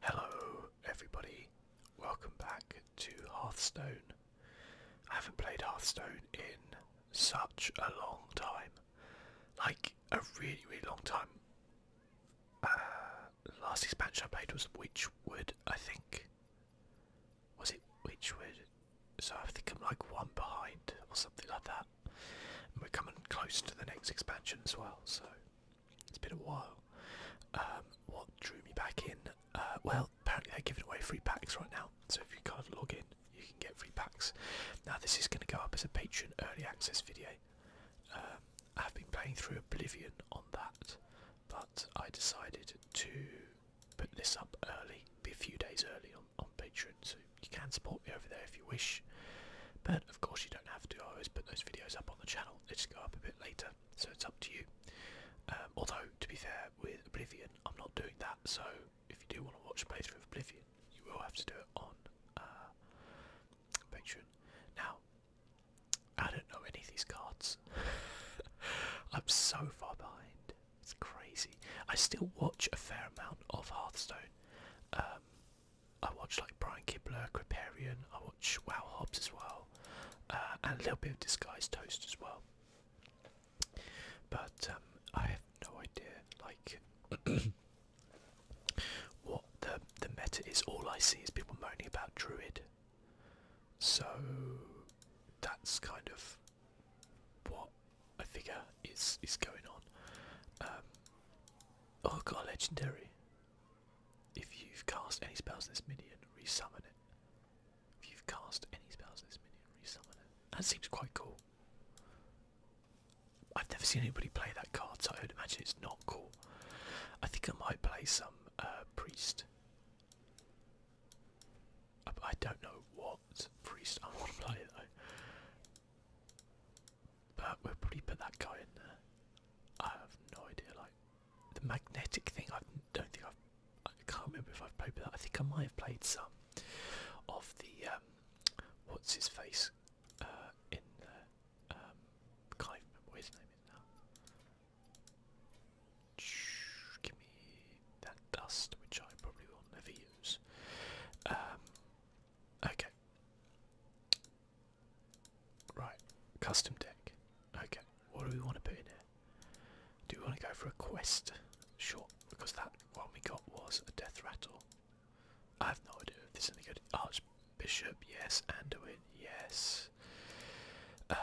Hello, everybody. Welcome back to Hearthstone. I haven't played Hearthstone in such a long time. Like, a really, really long time. Uh, last expansion I played was Witchwood, I think. Was it Witchwood? So I think I'm like one behind or something like that we're coming close to the next expansion as well, so it's been a while. Um, what drew me back in? Uh, well, apparently they're giving away free packs right now, so if you can't log in, you can get free packs. Now this is going to go up as a Patreon early access video. Um, I've been playing through Oblivion on that, but I decided to put this up early, be a few days early on, on Patreon, so you can support me over there if you wish. But of course, you don't have to. I always put those videos up on the channel, they just go up a bit later, so it's up to you. Um, although, to be fair, with Oblivion, I'm not doing that, so if you do want to watch a playthrough of Oblivion, you will have to do it on uh, Patreon. Now, I don't know any of these cards. I'm so far behind. It's crazy. I still watch a fair amount of Hearthstone. Um, I watch like Brian Kibler, Creparian, I watch Wow Hobbs as well, uh, and a little bit of Disguised Toast as well. But um, I have no idea, like, what the the meta is. All I see is people moaning about Druid, so that's kind of what I figure is is going on. Um, Oh, god! legendary. If you've cast any spells in this minion, resummon it. If you've cast any spells in this minion, resummon it. That seems quite cool. I've never seen anybody play that card, so I would imagine it's not cool. I think I might play some uh, priest. Uh, I don't know what priest I want to play though. But we'll probably put that guy in there. I have no idea. Like the magnetic thing, I don't think I've. I can't remember if I've played with that. I think I might have played some of the um, what's his face uh, in the. Um, can't remember his name now. Give me that dust, which I probably will never use. Um, Okay. Right, custom deck. Okay, what do we want to put in it? Do we want to go for a quest? short? because that one we got was a death rattle. I have no idea if this is any good. Archbishop, yes. Anduin, yes. Um,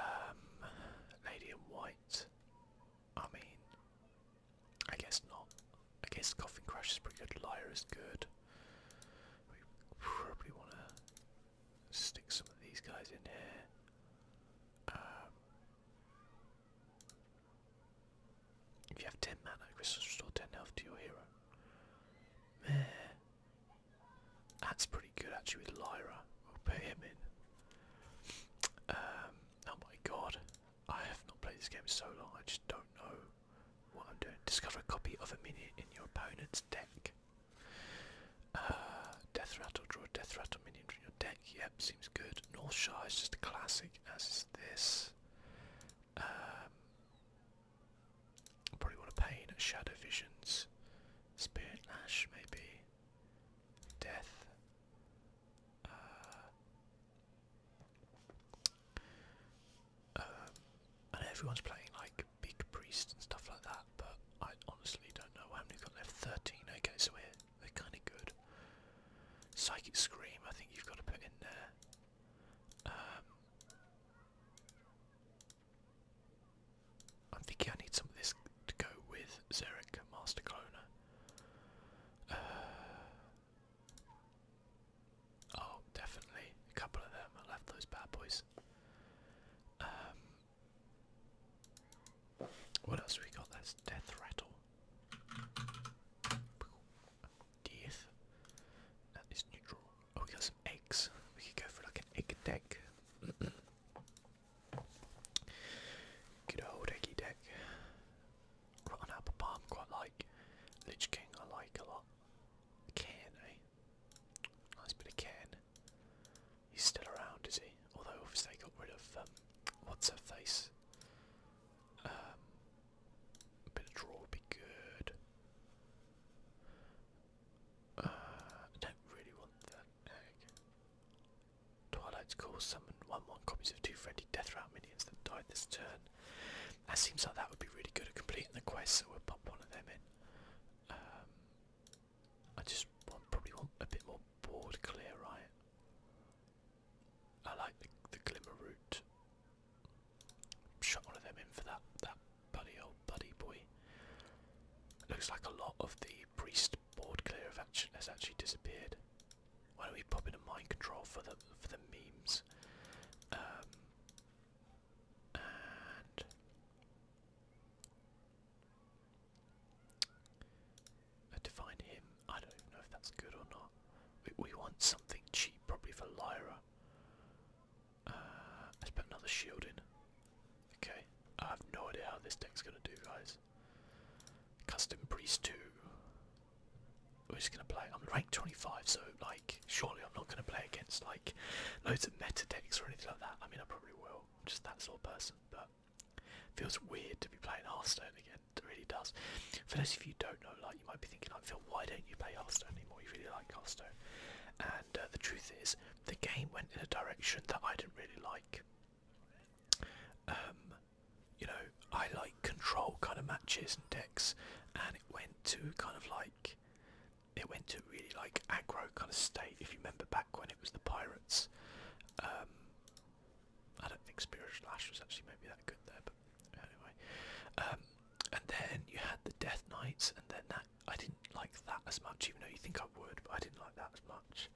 Lady in White. I mean, I guess not. I guess Coffin Crash is pretty good. Lyra is good. We probably want to stick some of these guys in here. Um, if you have 10 mana, crystals restore 10 health to your hero. Meh. That's pretty good actually with Lyra. We'll put him in. Um, oh my god. I have not played this game so long, I just don't know Discover a copy of a minion in your opponent's deck. Uh, death Rattle, draw a Death Rattle minion from your deck. Yep, seems good. North Shire is just a classic, as is this. Um, probably want to paint Shadow Visions, Spirit Lash, maybe. Death. Uh, um, I everyone's playing like big priests and stuff like that, but I honestly don't know how many got left. Thirteen. Okay, so we're kind of good. Psychic scream. I think you've got to put in there. Um, I'm thinking I need some of this to go with Zerek Master Cloner. Uh, Oh, definitely. A couple of them. I love those bad boys. Um, what else we got? That's Death Rattle. Death. That is neutral. Oh, we got some eggs. We could go for like an egg deck. Good old eggy deck. Rotten Apple Palm, quite like. Lich King, I like a lot. Cairn, eh? Nice bit of Cairn. He's still around, is he? Although, obviously, they got rid of, um, what's her face? a um, bit of draw would be good. Uh, I don't really want that egg. Twilight's call summon 1 1 copies of two friendly death minions that died this turn. That seems like that would be really good at completing the quest, so we'll pop one of them in. Um, I just probably want a bit more board clear, right? I like the, the glimmer route. Shut one of them in for that that buddy old buddy boy. Looks like a lot of the priest board clear have actually has actually disappeared. Why don't we pop in a mind control for the for the memes? Um, and uh, define him. I don't even know if that's good or not. We, want something cheap, probably for Lyra. Uh, let's put another shield in. Okay, I have no idea how this deck's gonna do, guys. Custom priest two we're just gonna play. I'm ranked 25, so like, surely I'm not gonna play against like loads of meta decks or anything like that. I mean, I probably will. just that sort of person, but feels weird to be playing Hearthstone again. It really does. For those of you who don't know, like, you might be thinking, like, Phil, why don't you play Hearthstone anymore? You really like Hearthstone. And uh, the truth is, the game went in a direction that I didn't really like. Um, you know, I like control kind of matches and decks, and it went to kind of like, it went to really like aggro kind of state. If you remember back when it was the pirates, um, I don't think Spiritual Lash was actually maybe that good there, but anyway. Um, and then you had the Death Knights, and then that I didn't like that as much, even though you think I would, but I didn't like that as much.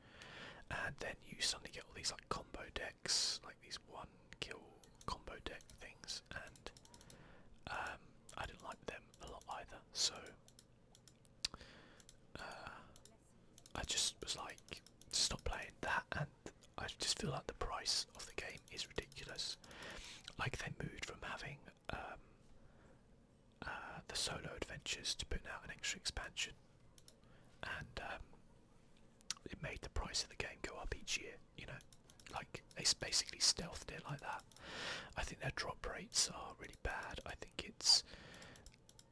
And then you suddenly get all these like combo decks, like these one one um, kill combo deck things, and um, I didn't like them a lot either. So uh, I just was like, stop playing that, and I just feel like the price of the game is ridiculous. Like they moved from having um, uh, the solo adventures to putting out an extra expansion, and um, it made the price of the game go up each year. You know, like they basically stealthed it like that. I think their drop rates are really bad. I think it's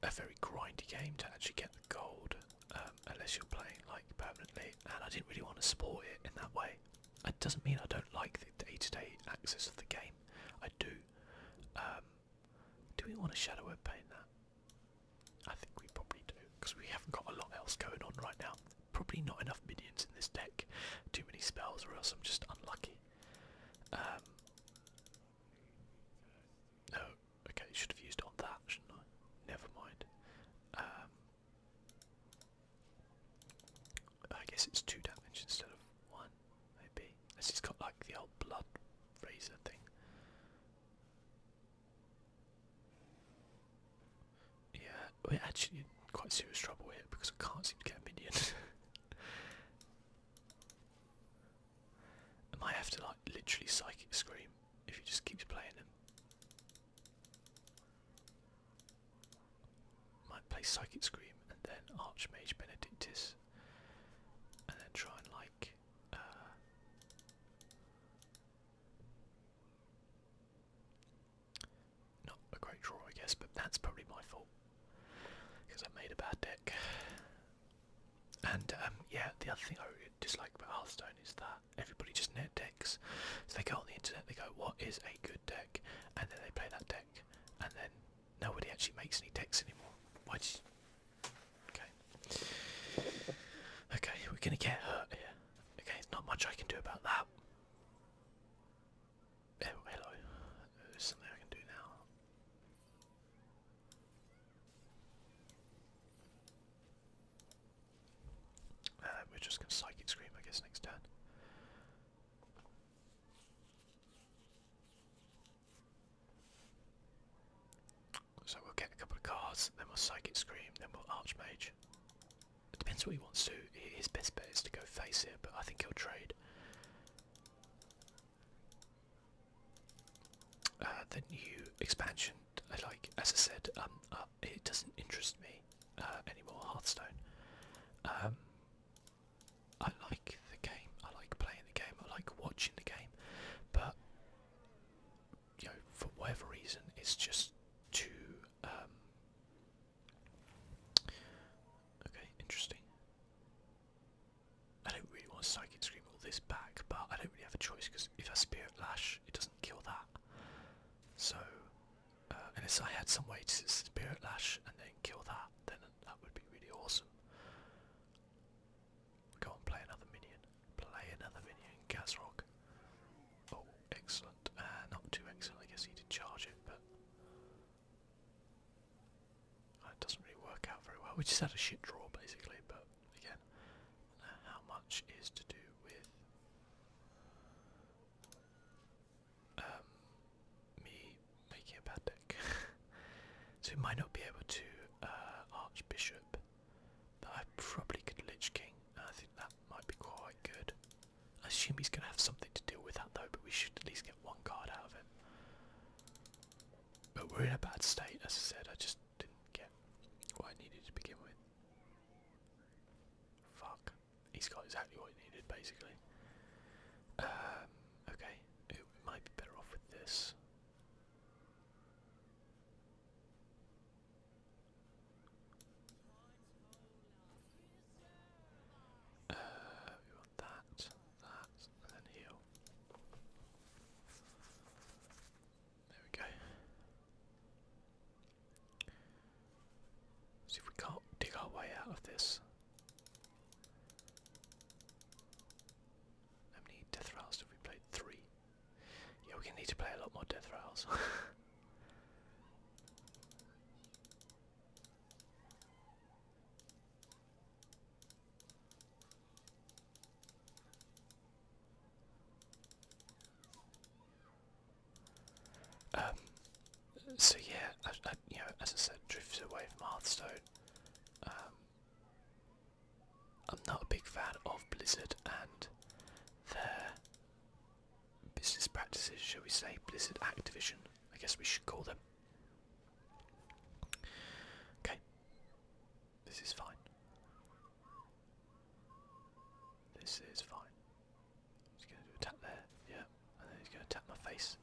a very grindy game to actually get the gold um, unless you're playing like permanently. And I didn't really want to support it in that way. It doesn't mean I don't like the day-to-day -day access of the game. I do. Um, do we want a shadow web paint that? I think we probably do, because we haven't got a lot else going on right now. Probably not enough minions in this deck. Too many spells, or else I'm just unlucky. Um, no, okay, should have used on that, shouldn't I? Never mind. Um, I guess it's two damage instead of one, maybe. Unless it's got like the old blood razor thing. Yeah, we're actually in quite serious trouble here because I can't seem to get a minion. I might have to like literally psychic scream if he just keeps playing them. Might play Psychic Scream and then Archmage Benedictus and then try and like uh, not a great draw, I guess, but that's probably my fault because I made a bad deck. And um, yeah, the other thing I dislike about Hearthstone is that everybody just net decks. So they go on the internet, they go, "What is a good deck?" and then they play that deck, and then nobody actually makes any decks anymore. Why? Okay, we're gonna get hurt here. Okay, not much I can do about that. Oh, there's something I can do now. Uh, we're just gonna psychic scream, I guess, next turn. So we'll get a couple of cards, then we'll Psychic Scream, then we'll Archmage. It depends what he wants to. His best bet is to go face it, but I think he'll trade. Uh, the new expansion, I like, as I said, um, uh, it doesn't interest me uh, anymore, Hearthstone. Um, I like the game, I like playing the game, I like watching the game, but you know, for whatever reason, it's just too. Um, okay, interesting. I don't really want to Psychic Scream all this back, but I don't really have a choice because if I Spirit Lash, it doesn't kill that. So, uh, unless I had some way to Spirit Lash and then kill that, then that would be really awesome. Go on, play another minion. Play another minion, Gazrock. Oh, excellent. Uh, not too excellent, I guess he did charge it, but. It doesn't really work out very well. We just had a shit draw, basically, but again, how much is to do with. Um, me making a bad deck. so we might not be able to uh, Archbishop but I probably could Lich King. I think that might be quite good. I assume he's going to have something to do with that though, but we should at least get one card out of it. But we're in a bad state, as I said, I just didn't get what I needed to begin with. Fuck. He's got exactly what he needed, basically. Um, okay, it might be better off with this. Uh, we want that, that, and then heal. There we go. See if we can't dig our way out of this. How many death rounds have we played? Three. Yeah, we're gonna need to play a lot more Death Rails. um, so yeah, you know, as I said, drifted away from Hearthstone. Um, I'm not a big fan of Blizzard and their business practices, shall we say, Blizzard Activision, I guess we should call them. Okay, this is fine. This is fine. He's going to do a tap there, yeah, and then he's going to tap my face.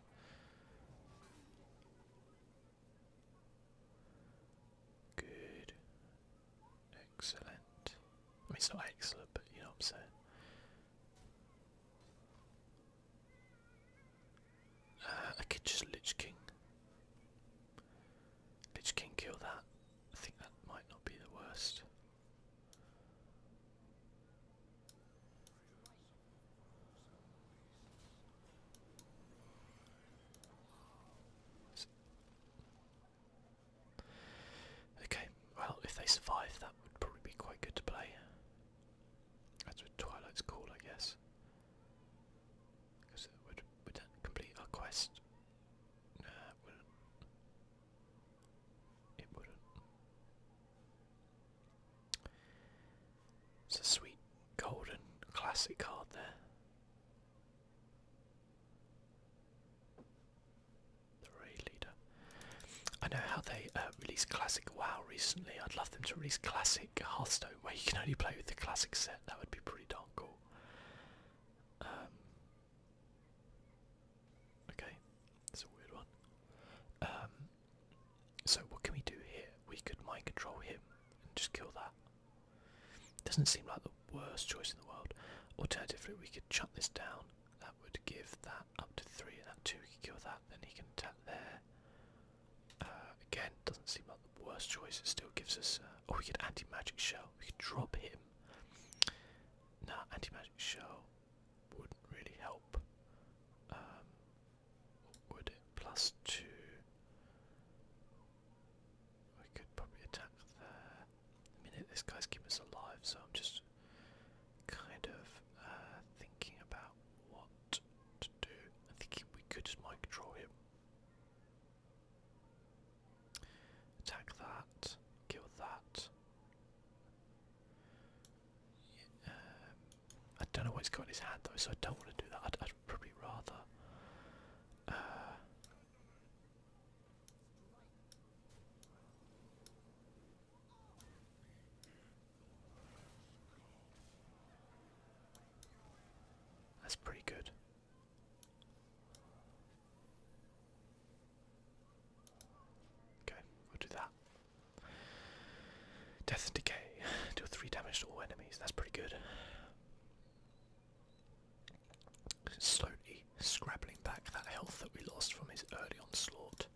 Good, Excellent. I mean, it's not excellent, but you know what I'm saying. Uh, I could just Lich King. Lich King kill that. I think that might not be the worst. Okay, well, if they survive, that would probably be quite good to play. That's what Twilight's called, I guess. Because it would, complete our quest? No, It wouldn't. It's a sweet golden classic card there. The leader. I know how they uh, classic WoW recently. I'd love them to release classic Hearthstone, where you can only play with the classic set. That would be pretty darn cool. Um, okay, that's a weird one. Um, so what can we do here? We could mind control him and just kill that. Doesn't seem like the worst choice in the world. Alternatively, we could shut this down. That would give that up to three, and at two we could kill that. Then he can attack there. Uh, again, doesn't seem like the worst choice. It still gives us. Uh, oh, we could anti-magic shell. We could drop him. Nah, anti-magic shell wouldn't really help. Um, would it? Plus two. I could probably attack there. I this guy's keeping us alive, so I'm just kind of uh, thinking about what to do. I'm we could just mic draw him. Attack that, kill that. Um, I don't know what he's got in his hand though, so I don't want to do that. I'd, probably rather uh, that's pretty good. Okay, we'll do that. Death and decay. do three damage to all enemies. That's pretty good. Slowly scrabbling back that health that we lost from his early onslaught.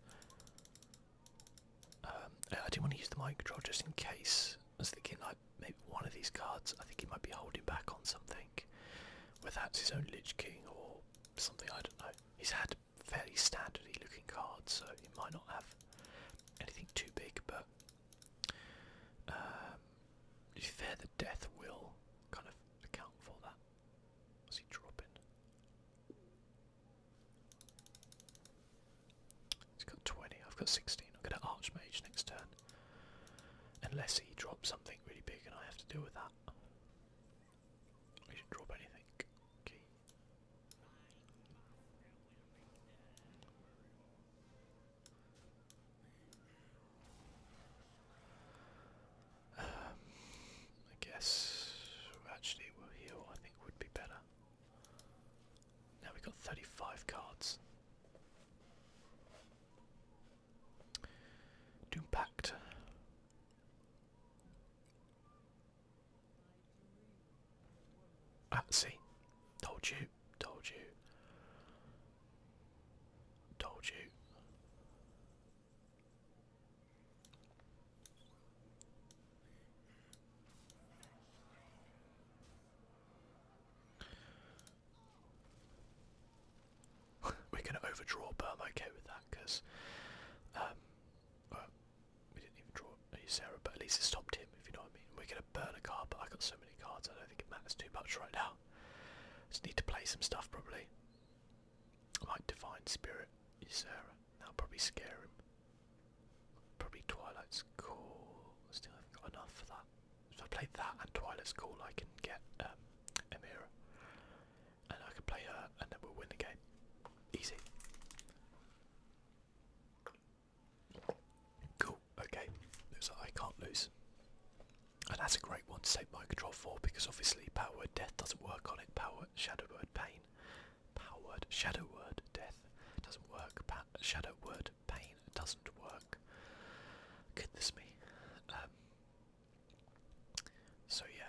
Um, I do want to use the mind control just in case. I was thinking like maybe one of these cards. I think he might be holding back on something, whether that's his own Lich King or something. I don't know. He's had fairly standardy looking cards, so he might not have anything too big, but do you fear the death will kind of account for that? Was he dropping? He's got 20, I've got 16. I'll get an Archmage next turn. Unless he drops something really big and I have to deal with that. He should drop anything. Okay. Um, I guess actually we'll heal. I think would be better. Now we've got 35 cards. Doom Pact. Ah, see, told you. Told you. Told you. We're going to overdraw, but I'm okay with that because, um, we didn't even draw Sarah, but at least it stopped him, if you know what I mean. We're going to burn a card, but I got so many cards I don't think it matters too much right now. Just need to play some stuff probably. Like Divine Spirit, Ysera. That'll probably scare him. Probably Twilight's Call. Still have got enough for that. If I play that and Twilight's Call I can get um And I can play her and then we'll win the game. Easy. Cool, okay. Looks I can't lose. And that's a great one to take my control for because obviously power word death doesn't work on it. Power shadow word pain. Power word shadow word death doesn't work. shadow word pain doesn't work. Goodness me. Um, so yeah.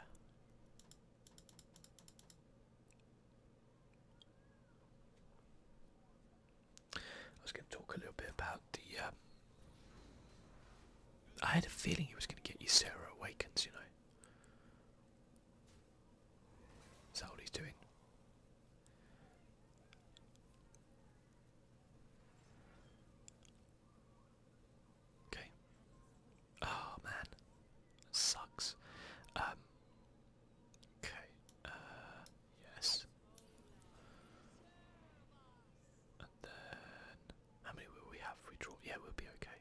I was going to talk a little bit about the. Um, I had a feeling he was going to get you Sarah Awakens, you know. Is that what he's doing? Okay. Oh man, sucks. Um, Okay, uh, yes. And then, how many will we have? we draw, yeah, we'll be okay.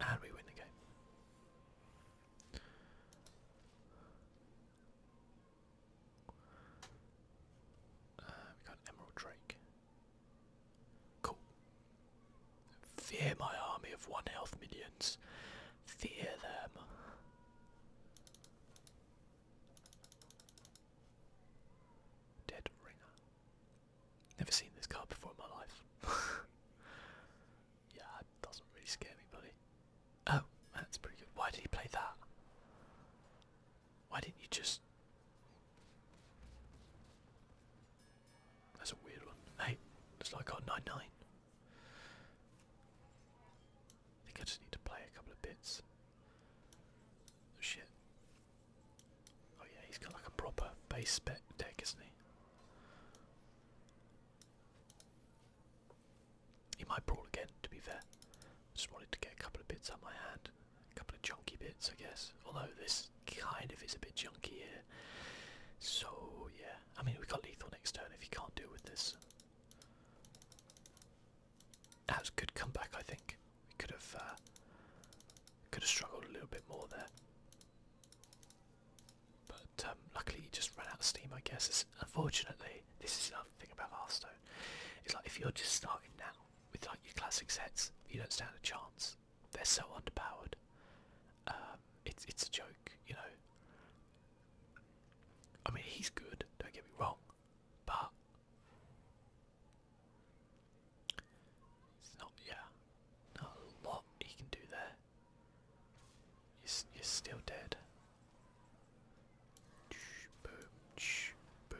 And we win the game. Uh, we got an emerald drake. Cool. Fear my army of one health minions. Fear them. Dead ringer. Never seen this card before in my life. yeah, doesn't really scare me, buddy. Oh, that's pretty good. Why did he play that? Why didn't you just. That's a weird one. Hey, looks like I 9 9. I think I just need to play a couple of bits. Oh, shit. Oh yeah, he's got like a proper base spec deck, isn't he? He might brawl again, to be fair. Just wanted to get a couple of bits on my hand, a couple of junky bits, I guess. Although this kind of is a bit junky here. So yeah, I mean we got lethal next turn if you can't deal with this. That was a good comeback, I think. We could have uh, could have struggled a little bit more there. But um, luckily, he just ran out of steam, I guess. unfortunately, this is another thing about Hearthstone. It's like if you're just starting now with like your classic sets, you don't stand a chance. They're so underpowered. Um, it's it's a joke, you know. I mean, he's good. Don't get me wrong, but it's not. Yeah, not a lot he can do there. You're, you're still dead. Boom. Boom.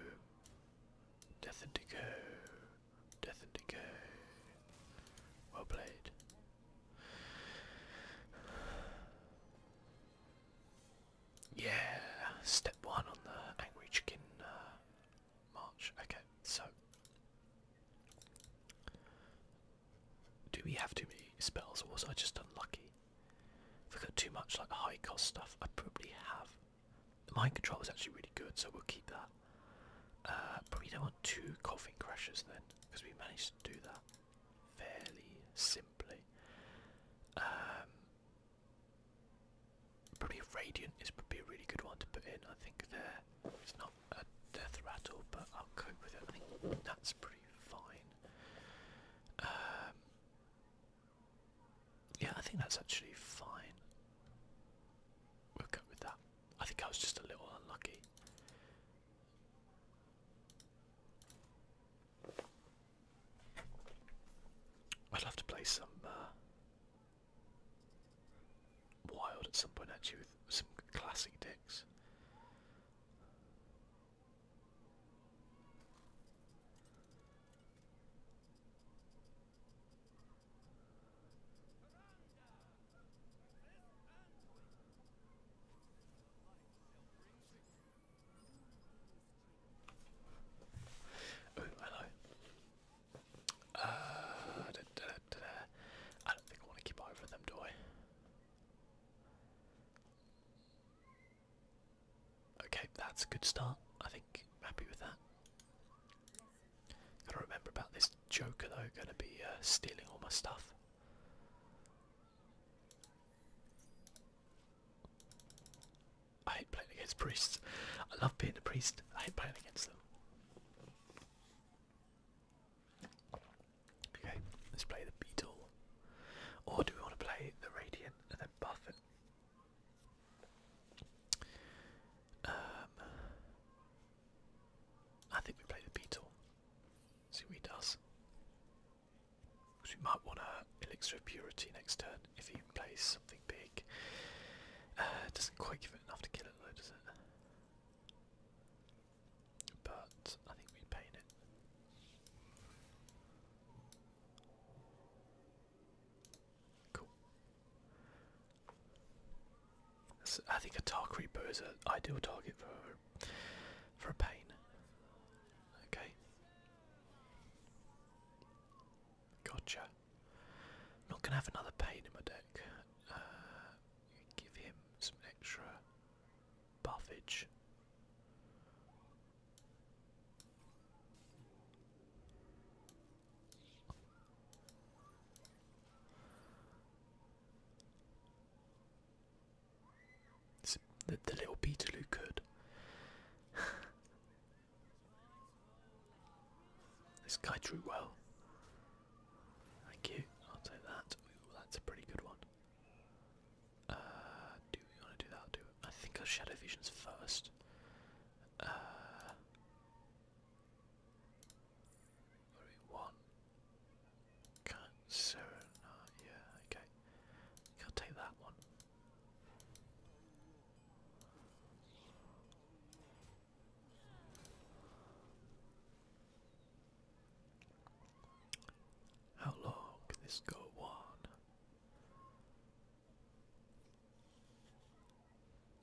Death and decay. Death and decay. Well played. Yeah, step one on the Angry Chicken uh, March. Okay, so. Do we have too many spells or was I just unlucky? If I got too much like high cost stuff, I probably have. The mind control is actually really good, so we'll keep that. Uh, probably don't want two coffin crashes then, because we managed to do that fairly simply. Um, probably radiant is probably a really good one to put in. I think there it's not a death rattle, but I'll cope with it. I think that's pretty fine. Um, yeah, I think that's actually fine. We'll go with that. I think I was just a little unlucky. I'd love to play some uh, wild at some point actually with some classic decks. Oh, hello. Uh, I don't think I want to keep over them, do I? Okay, that's a good start. I think I'm happy with that. Gotta remember about this Joker though. Gonna be uh, stealing all my stuff. I hate playing against priests. I love being a priest. I hate playing against them. Okay, let's play the beetle. Or do we want to play the radiant and then buff it? Um, I think we play the beetle. See what he does. we might want a elixir of purity next turn if he plays something big. Uh, doesn't quite give it enough to kill it though, does it? But I think we paint it. Cool. I think a tar creeper is an ideal target for for a pain. Okay. Gotcha. not gonna have another pain in my deck. Uh, give him some extra buffage the, the little Peterloo could. this guy drew well. Thank you. I'll take that. that's a pretty good one. Uh, do we want to do that? I'll I think shadow vision's first. Uh, Yeah, okay. Can't take that one. How long can this go on?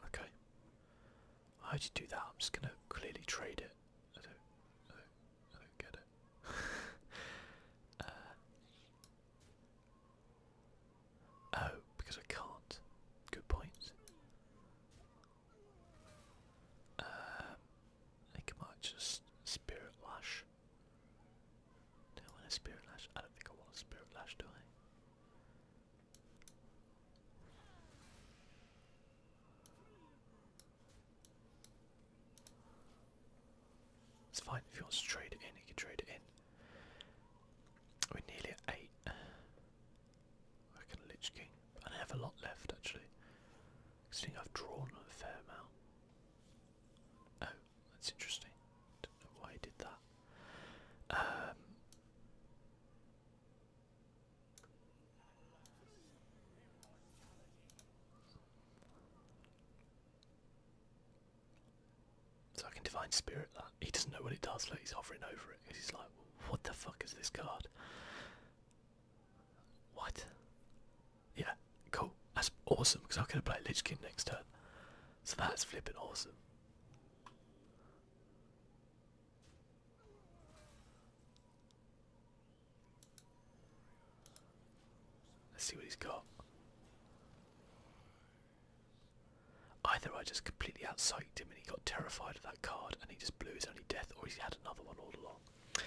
Okay. How do you do that? I'm just gonna clearly trade it. I don't, I don't, I don't get it. Uh, oh, because I can't. Good point. Um, I might just spirit lash. Do I want a spirit lash? I don't think I want a spirit lash, do I? It's fine if you want to trade it in, you can trade it in. We're nearly at 8. I can Lich King. I have a lot left actually. I think I've drawn a fair amount. Oh, that's interesting. Don't know why I did that. Um, so I can divine spirit that. He doesn't know what it does, look, he's hovering over it. He's like, what the fuck is this card? What? Yeah, cool. That's awesome because I'm gonna play Lich King next turn. So that's flipping awesome. Let's see what he's got. Either I just completely outsighted him and he got terrified of that card and he just blew his only death, or he's had another one all along.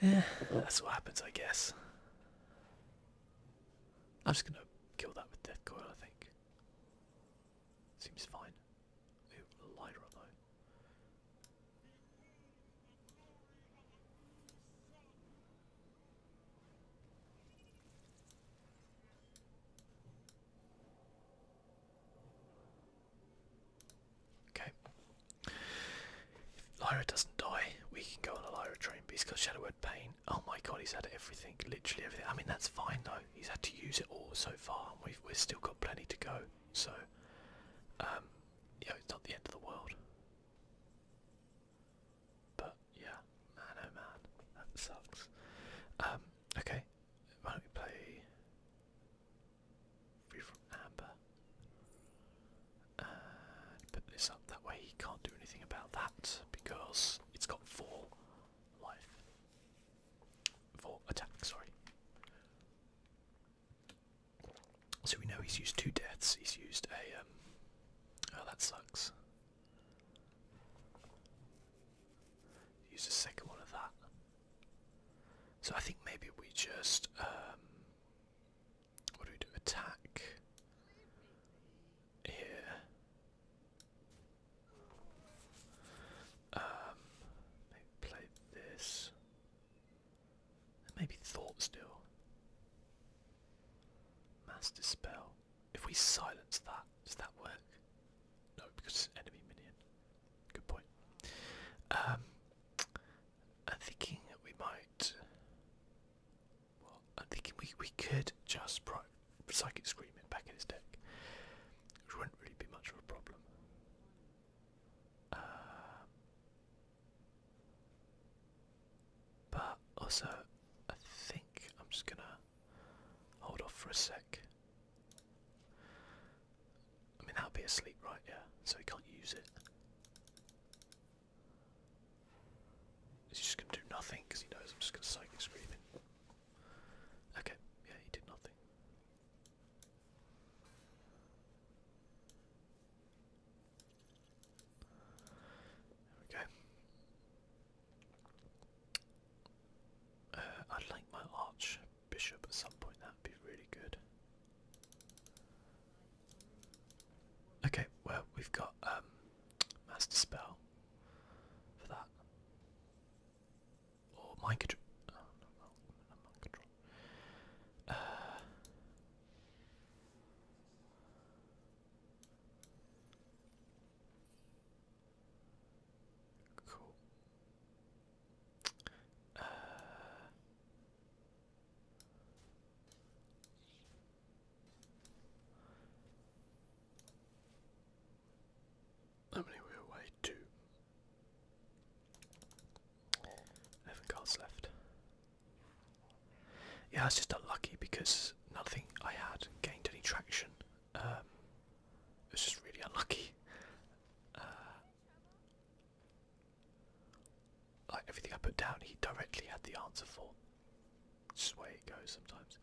Yeah, that's what happens, I guess. I'm just gonna kill that with death coil, I think. Seems fine. Ooh, Lyra though. Okay, Lyra doesn't die. We can go on a Lyra train, but he's got Shadow Word Pain. Oh my god, he's had everything, literally everything. I mean, that's fine though. He's had to use it all so far, and we've, we've still got plenty to go. So, um, you it's not the end of the world. But, yeah, man oh man, that sucks. Um, okay, why don't we play Free From Amber? put this up. That way he can't do anything about that because it's got four life. Four attack, sorry. So we know he's used two deaths. He's used a. Um, oh, that sucks. Use the second one of that. So I think maybe we just um, what do we do? Attack here. Um, play this. Maybe thought still. Master spell. If we silence that, does that work? No, because enemy minion. Good point. Um, I'm thinking we might. Well, I'm thinking we, we could just pry Psychic Screaming back in his deck, which wouldn't really be much of a problem. Um, but also, I think I'm just gonna hold off for a sec. I mean, i will be asleep, right? Yeah, so he can't use it. He's just gonna do nothing because he knows I'm just gonna psychic scream him. Okay, yeah, he did nothing. There uh, I'd like my archbishop at some point, that'd be really good. Okay, well we've got um, Master Spell for that. Or mind oh, control. Uh, cool. Uh, how many were away? Two. Eleven cards left. Yeah, I just unlucky because nothing I had gained any traction. Um, it's just really unlucky. Uh, like everything I put down, he directly had the answer for. Just the way it goes sometimes.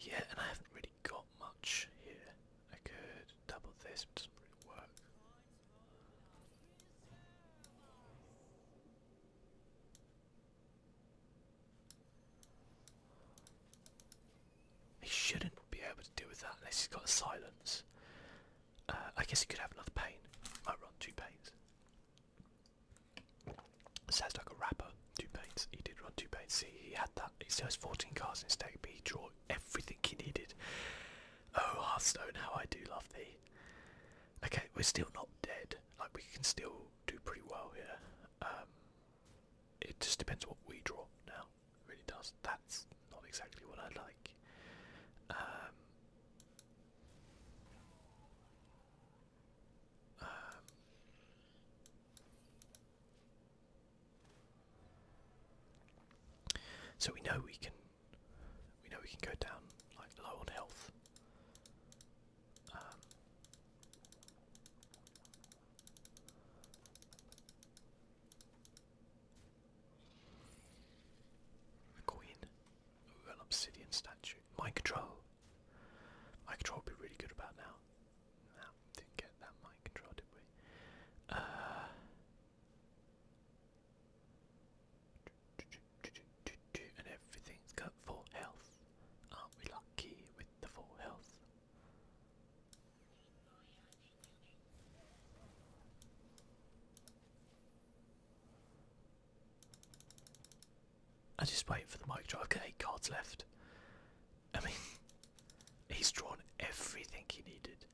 Yeah, and I haven't really got much here. I could double this, but doesn't really work. He shouldn't be able to do with that unless he's got a silence. Uh, I guess he could have another pain. Might run two pains. Sounds like a rapper. Two pains. He did run two pains. See, he had that. He still has 14 cards in his deck, but he drew everything he needed. Oh, Hearthstone, how I do love thee. Okay, we're still not dead. Like, we can still do pretty well here. Um, it just depends what we draw now. really does. That's not exactly what I would like. Um, um, so we know we can we know we can go down like low on health. Um, a queen. an obsidian statue. Mind control. Mind control would be really good about now. Nah, didn't get that mind control, did we? Uh, and everything's got full health. Aren't we lucky with the full health? I just wait for the mic drop. I've got eight cards left. I mean, he's drawn everything he needed.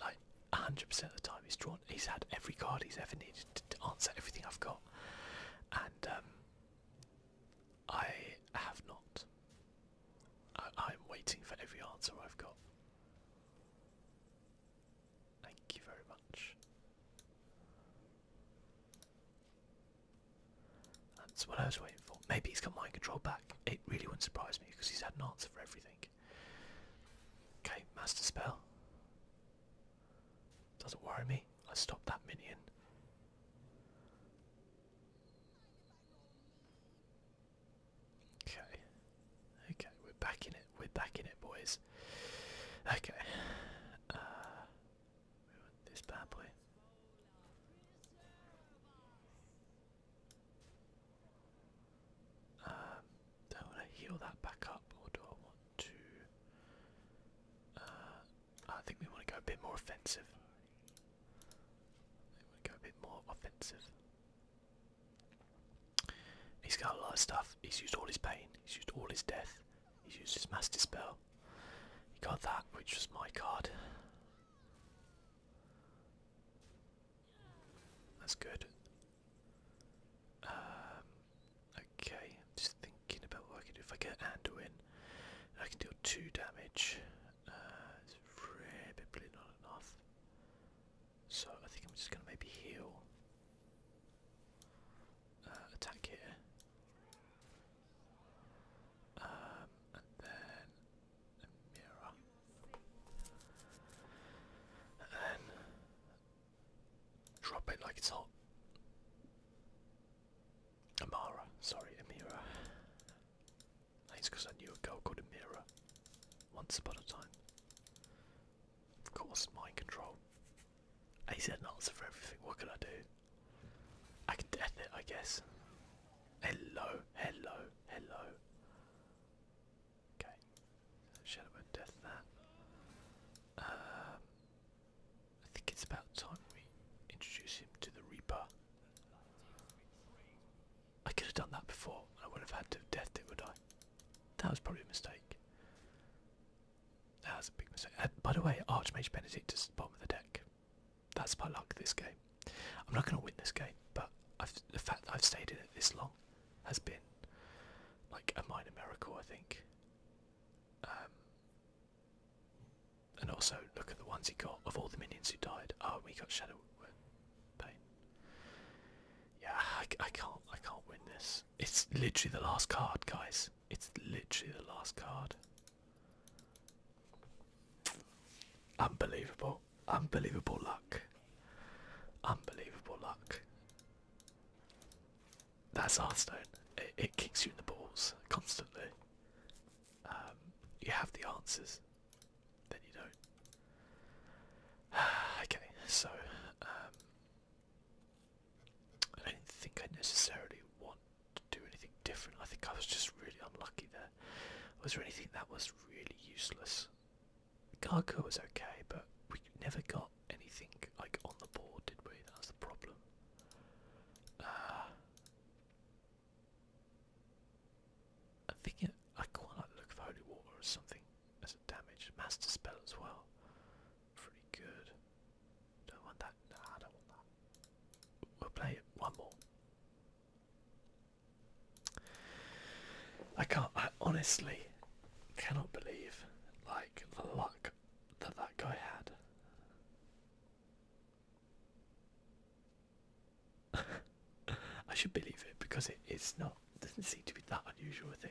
Like, 100% of the time he's drawn. He's had every card he's ever needed to answer everything I've got. And, um, I have not. I'm waiting for every answer I've got. Thank you very much. That's what I was waiting for. Maybe he's got mind control back. It really wouldn't surprise me because he's had an answer for everything. Okay, Master Spell. Doesn't worry me. I stop that minion. Okay. Okay, we're back in it. We're back in it, boys. Okay. Uh, this bad boy. Um, do I heal that back up, or do I want to? Uh, I think we want to go a bit more offensive. we want to go a bit more offensive. He's got a lot of stuff. He's used all his pain. He's used all his death. He's used his master spell. He got that, which was my card. That's good. Um, okay, just thinking about what I can do. If I get Ando I can deal two damage. probably not enough. So I think I'm just going to maybe heal. Uh, attack it, Um, and then a And then drop it like it's hot. Amara, sorry, Amira. It's because I knew a girl called Amira once upon a time. Of course, mind control. He's had an answer for everything. What can I do? I can death it, I guess. Hello, hello, hello. Okay. Shadow and death that. Um, I think it's about time we introduce him to the Reaper. I could have done that before. I wouldn't have had to death it, would I? That was probably a mistake. That was a big mistake. by the way, Archmage Benedict is at the bottom of the deck. That's my luck this game. I'm not going to win this game, but the fact that I've stayed in it this long has been like a minor miracle, I think. Um, and also, look at the ones he got of all the minions who died. Oh, we got Shadow yeah, I, can't. I can't win this. It's literally the last card, guys. It's literally the last card. Unbelievable. Unbelievable luck. Unbelievable luck. That's Hearthstone. It, it kicks you in the balls constantly. Um, you have the answers then you don't. okay, so um, I don't think I necessarily want to do anything different. I think I was just really unlucky there. Was there anything that was really useless? Gargo was okay, but we never got anything like on the board, did we? That was the problem. Uh, i think thinking I quite like the look of holy water or something as a damage. Master spell as well. Pretty good. Don't want that. Nah, I don't want that. We'll play it one more. I can't I honestly cannot believe like the luck that that guy had. I should believe it because it, it's not doesn't seem to be that unusual a thing.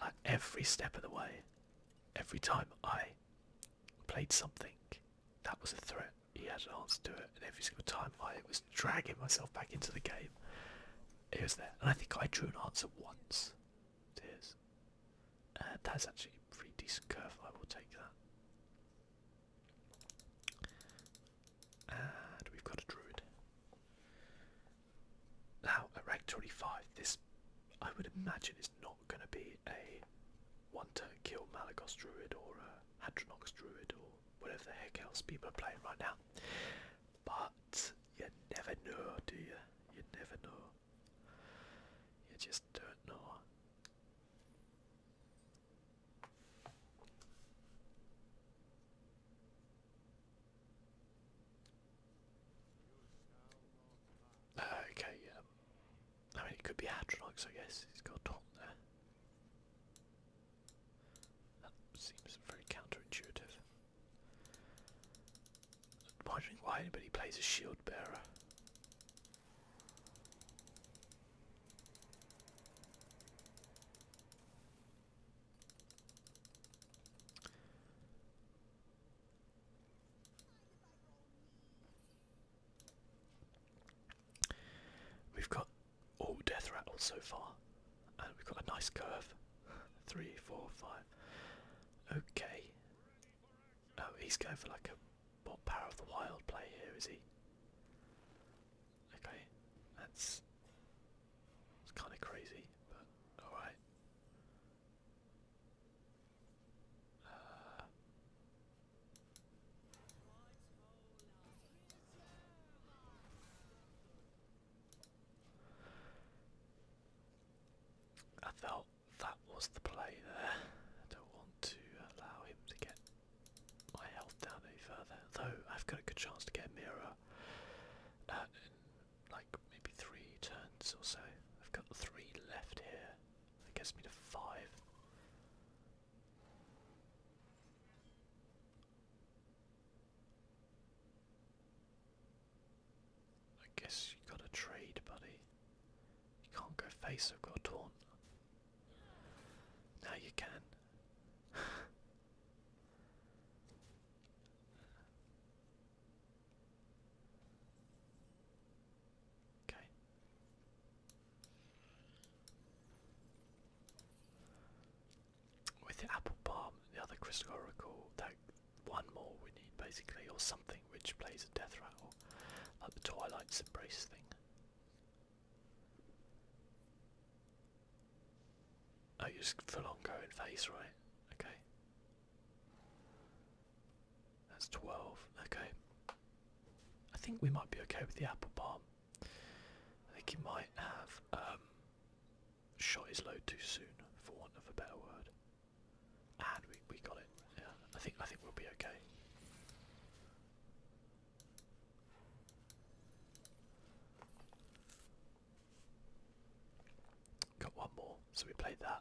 At every step of the way, every time I played something that was a threat, he had an answer to it, and every single time I was dragging myself back into the game, it was there. And I think I drew an answer once to that's actually a pretty decent curve, I will take that. And we've got a druid. Now, at rank 25, this I would imagine is not going to be a one to kill Malagos druid or a Hadronox druid or whatever the heck else people are playing right now. But you never know, do you? You never know. You just don't know. Uh, okay, yeah. I mean, it could be Atronox, I guess. He's got Dalton there. That seems very counterintuitive. I'm wondering why anybody plays a shield bearer. We've got all oh, death Rattle so far, and we've got a nice curve. Three, four, five. Okay. Oh, he's going for like a power of the wild play here, is he? Okay, that's it's kind of crazy, but all right. Uh, I felt that was the play there. don't want to allow him to get my health down any further. Though I've got a good chance to get a mirror uh, in like maybe three turns or so. I've got three left here. That gets me to five. I guess you gotta trade, buddy. You can't go face, I've got Now you can okay. With the apple palm, the other crystal oracle, that one more we need basically, or something which plays a death rattle, like the Twilight's Embrace thing. Oh, just full on going face, right? Okay. That's 12. Okay. I think we might be okay with the apple palm. I think he might have um, shot his load too soon, for want of a better word. And we, we got it. Yeah, I think I think we'll be okay. Got one more, so we played that.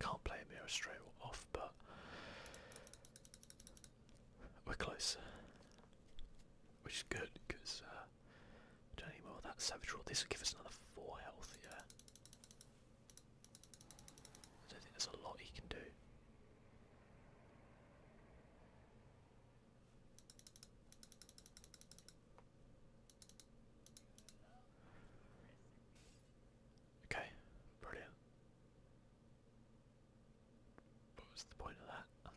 Can't play Amira straight off, but we're close. Which is good, because uh, don't need more of that Savage Roar. This will give us another 4 health, yeah. I don't think there's a lot he can do. Okay, brilliant. What was the point of that?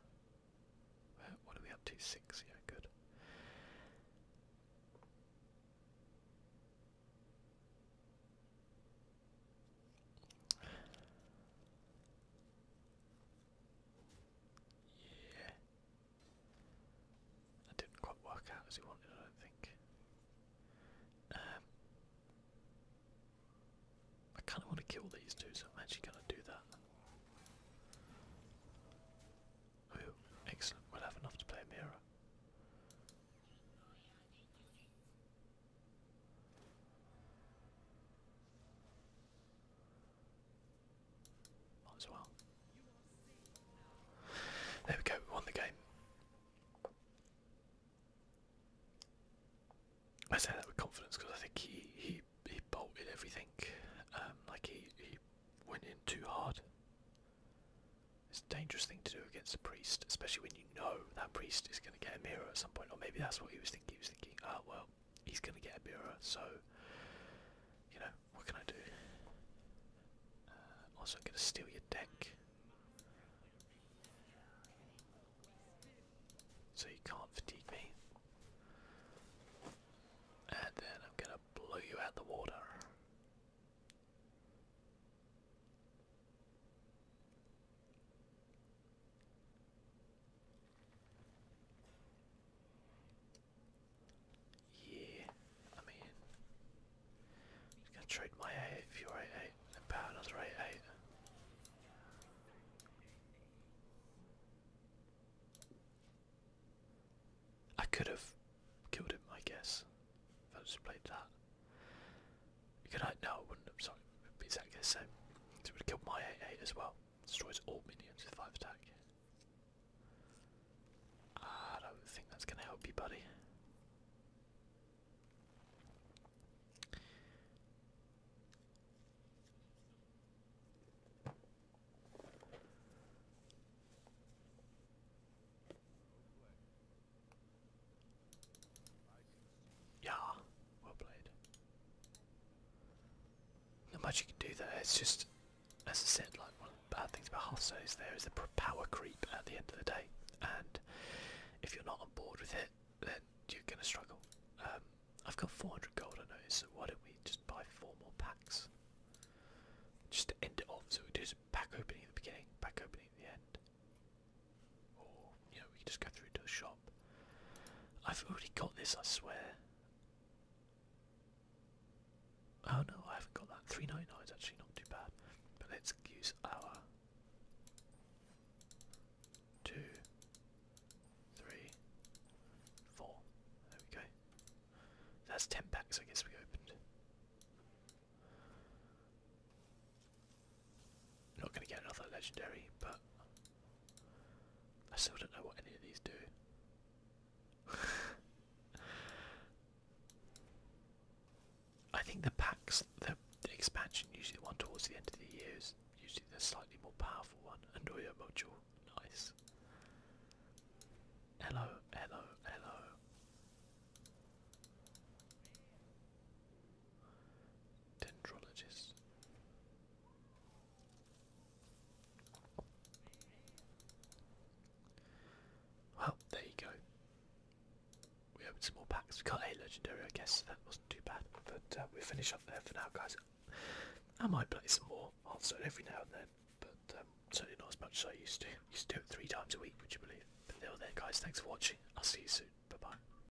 Where, what are we up to? Six, yeah, good. Yeah. That didn't quite work out as he wanted, I don't think. Um, I kind of want to kill these two, so I'm actually going to do that. excellent. We'll have enough to play mirror as well. There we go, won the game. I say that with confidence because I think he he he bolted everything. Um, like he he went in too hard. It's a dangerous thing to do against a priest, especially when you know that priest is going to get a mirror at some point. Or maybe that's what he was thinking. He was thinking, oh well, he's going to get a mirror, so, you know, what can I do? Uh, also, I'm going to steal your deck. So you can't fatigue me. And then I'm going to blow you out the water. Yeah, I mean, i gonna trade my 8 if you 8 and power another 8 I could have killed him, I guess, I just played that. No, I wouldn't. sorry. It would be exactly the same. it would kill my 8-8 as well. Destroys all minions with 5 attack. I don't think that's going to help you, buddy. Yeah, well played. Not much you can do there, it's just, as I said, like one of the bad things about Hosso is there is a power creep at the end of the day, and if you're not on board with it, then you're going to struggle. Um, I've got 400 gold, I noticed, so why don't we just buy four more packs? Just to end it off, so we do some pack opening at the beginning, pack opening at the end. Or, we can just go through to the shop. I've already got this, I swear. Oh no, I haven't got that. 399 is actually not too bad. But let's use our two, three, four. There we go. That's ten packs I guess we opened. Not going to get another legendary, but I still don't know what any of these do. I think the packs, the, the expansion, usually the one towards the end of the years, usually the slightly more powerful one. And Oyo module, nice. Hello, hello, hello dendrologist. Well, there you go. We opened some more packs. We got a legendary, I guess. That wasn't too bad. But uh, we finish up there for now, guys. I might play some more answer every now and then, but um, certainly not as much as I used to. Used to do it three times a week, would you believe? But there, there, guys. Thanks for watching. I'll see you soon. Bye bye.